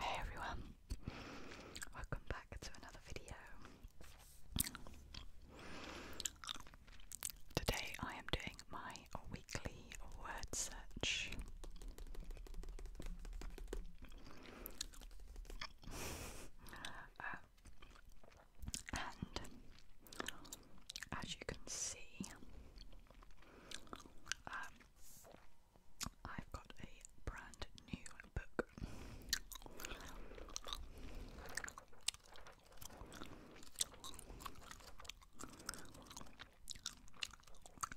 Hey everyone, welcome back to another video. Today I am doing my weekly word search. Um, and as you can see, um, I've got a brand new book.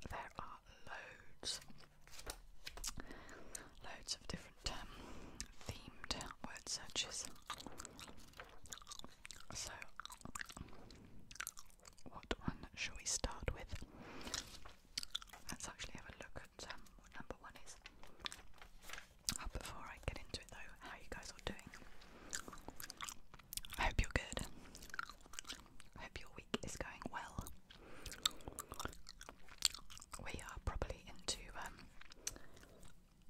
There are loads, loads of different themed word searches. So, what one shall we start with? Let's actually have a look at um, number one is. Oh, before I get into it though, how you guys are doing. I hope you're good. I hope your week is going well we are probably into um,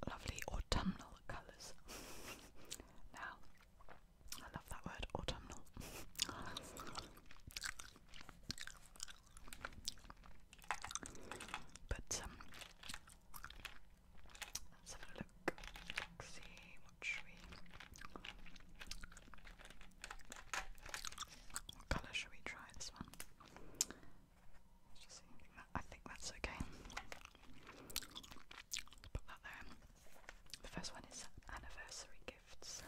lovely autumnal colours now. I love that word, autumnal. but um, let's have a look. see what What colour should we try this one? I think that's okay. put that there. The first one is anniversary gifts.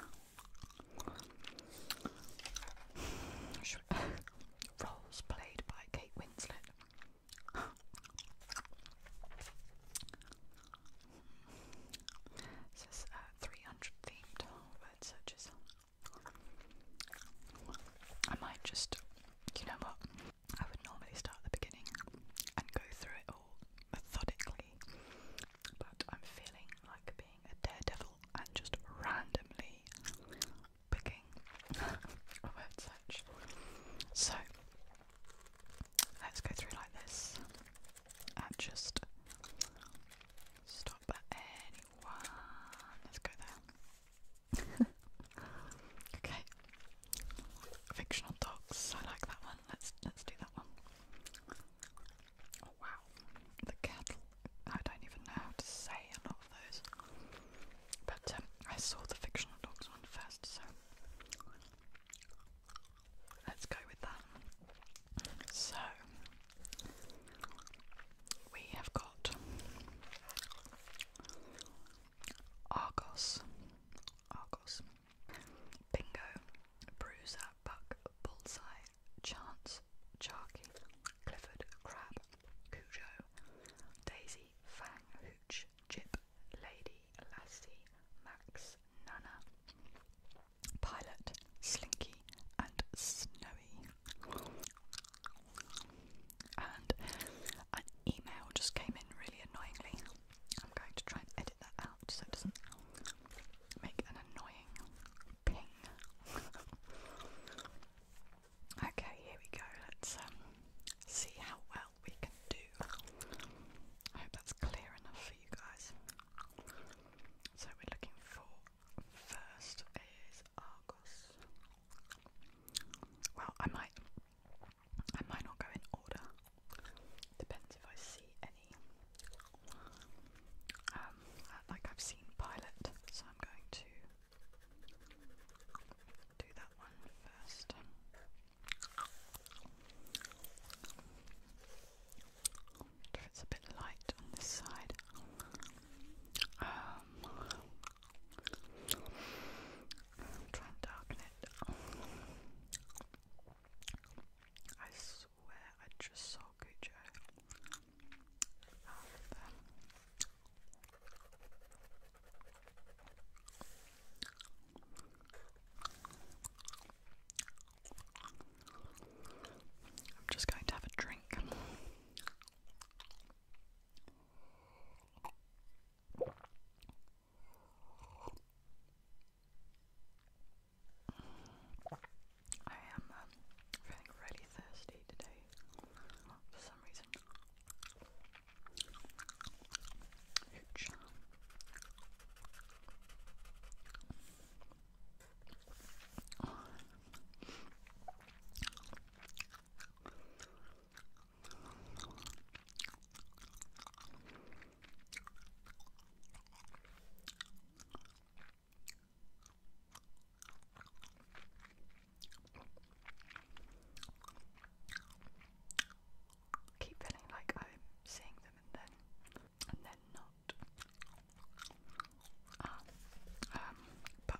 Roles played by Kate Winslet. This is uh, 300 themed word searches. I might just, you know what, I would normally start at the beginning and go through it all methodically, but I'm feeling like being a daredevil and just randomly picking a word search. So, let's go through like this and just stop at any Let's go there. okay. Fictional dogs. I like that one. Let's let's do that one. Oh, wow. The cattle. I don't even know how to say a lot of those. But um, I saw the fictional dogs one first, so let's go with that. So we have got Argos, Argos, Bingo, Bruiser, Buck, Bullseye, Chance, Charky, Clifford, Crab, Cujo, Daisy, Fang, Hooch, Jip, Lady, Lassie, Max, Nana, Pilot, Slinky, windy and snowy. And an email just came in really annoyingly. I'm going to try and edit that out so it doesn't make an annoying ping. okay, here we go. Let's um, see how well we can do. I hope that's clear enough for you guys. So we're looking for First is Argos. Well, I might, I might not go in order. Depends if I see any. Um, uh, like I've seen Pilot, so I'm going to do that one first. It's a bit light on this side. Um, i darken it. I swear I just saw Cujo I'm just going to have a drink. I am um, feeling really thirsty today for some reason. Ooch keep feeling like I'm seeing them and then and then not. Uh, um, back.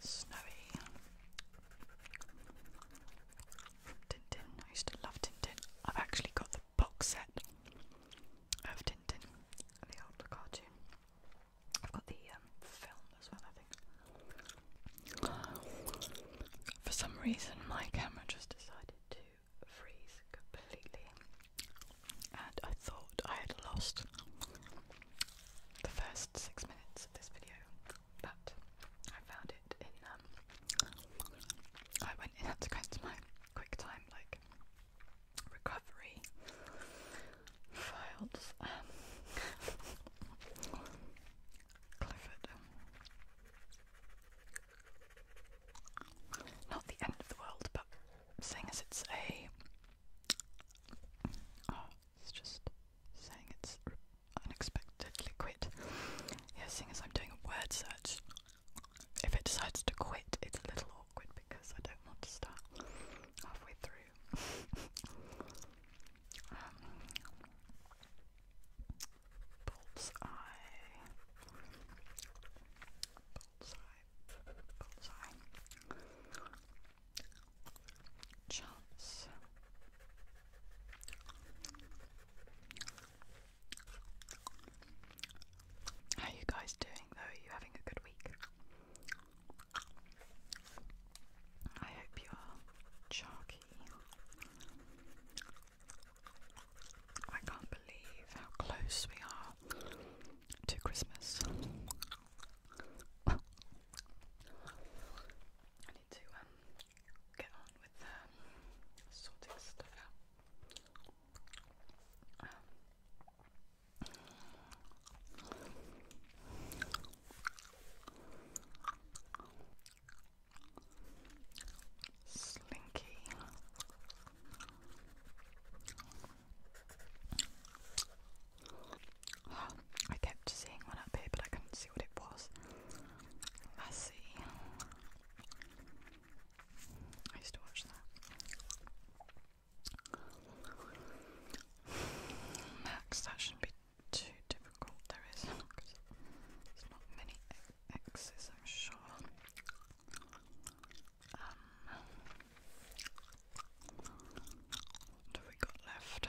Snowy Tintin. I used to love Tintin. I've actually got the box set of Tintin, the old cartoon. I've got the um, film as well, I think. for some reason, my camera just decided to freeze completely, and I thought I had lost the first six minutes of this video, but I found it in. Um, I went into my quick time like recovery files. Um, Clifford. Not the end of the world, but seeing as it's a. Oh, it's just saying it's unexpectedly quit. Yeah, seeing as I'm doing a word search if it decides to quit, it's a little awkward because I don't want to start halfway through. um, bullseye. Bullseye. Bullseye. Chance. How are you guys doing though? Are you having a good week? I hope you are chalky. I can't believe how close we are to Christmas. I need to um, get on with um, sorting stuff out. Um, Slinky. I kept seeing one up here, but I couldn't see what it was. I see. I used to watch that. shouldn't be too difficult. There is, because not many X's, I'm sure. Um, what have we got left?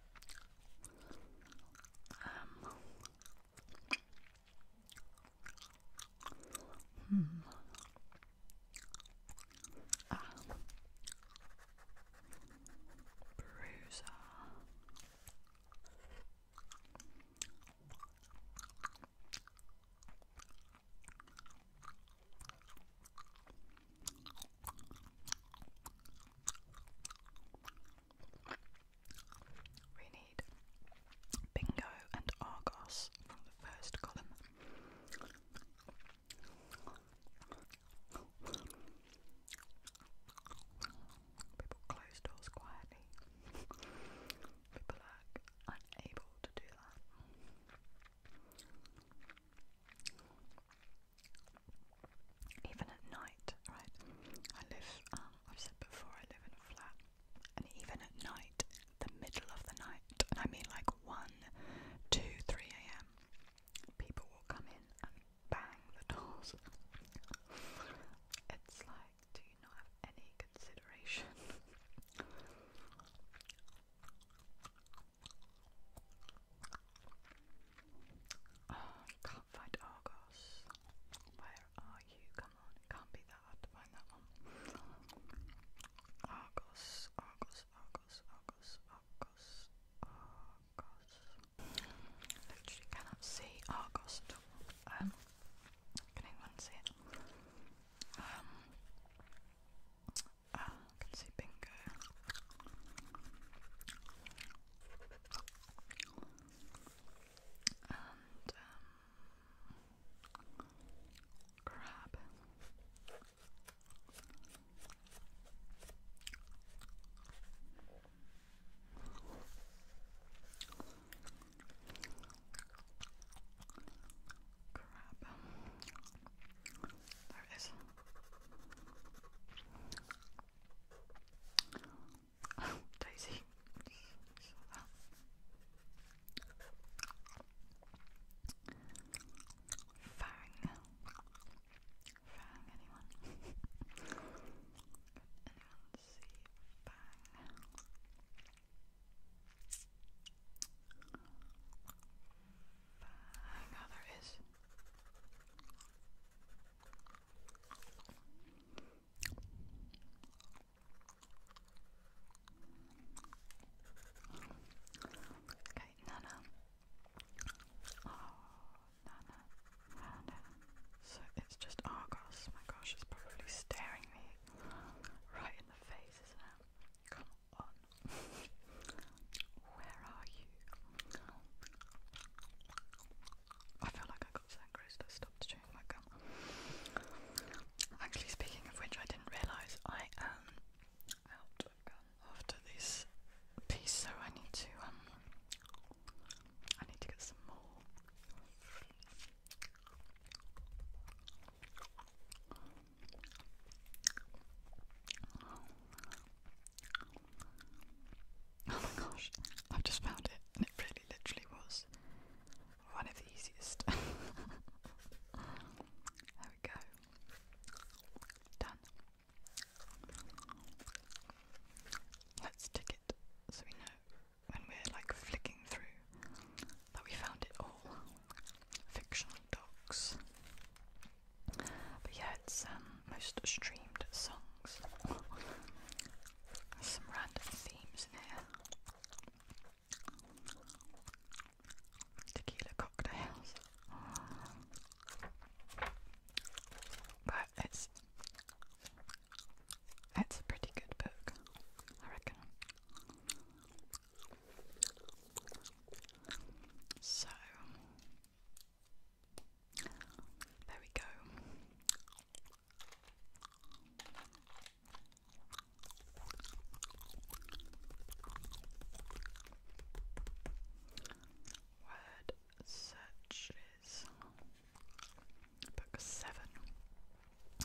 Um. Hmm. Um. Bruiser. We need Bingo and Argos from the first column. People close doors quietly. People are unable to do that. Even at night, right? I live, um, I've said before, I live in a flat, and even at night, the middle of the night, and I mean like 1, am, people will come in and bang the doors. it's like, do you not have any consideration? Oh, can't find Argos. Where are you? Come on, it can't be that hard to find that one. Argos, Argos, Argos, Argos, Argos, Argos. Literally cannot see Argos at all. Um, can anyone see it? Um, Ah, I And um, crab. Crab. There it is. Daisy. Fang. Fang, anyone? anyone see Fang? I know there is. Okay, Nana. Oh, Nana. Nana. So it's just Argos. My gosh, it's probably staring me right in the face, isn't it? Come on. Where are you? I feel like I got sangria, so I stopped my gum. Actually, speaking of which, I didn't realise I am out of gum after this piece, so I need to um, I need to get some more. Oh my gosh, I've just found it, and it really literally was one of the easiest. there we go. Done. Let's tick it so we know when we're like flicking through that we found it all fictional dogs. But yeah, it's um, most streamed songs. some random themes in here. Tequila cocktails. But it's it's a pretty good book, I reckon. So there we go. Word searches book seven.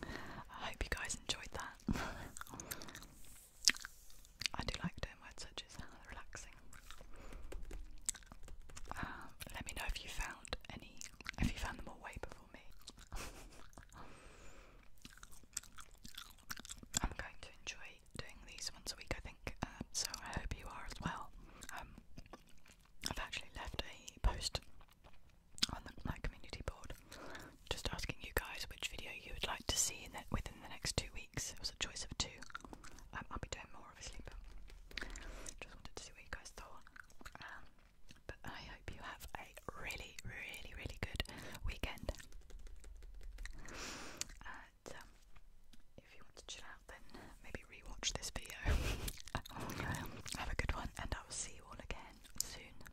I hope you guys enjoyed that. I do like doing word searches, they're uh, relaxing. Um, let me know if you found any, if you found them all way before me. I'm going to enjoy doing these once a week, I think, um, so I hope you are as well. Um, I've actually left a post on my community board just asking you guys which video you would like to see in the, within the next two weeks. It was a choice of two. Um, I'll be doing more obviously, but just wanted to see what you guys thought. Um, but I hope you have a really, really, really good weekend. And um, if you want to chill out, then maybe rewatch this video. Oh, have a good one, and I will see you all again soon.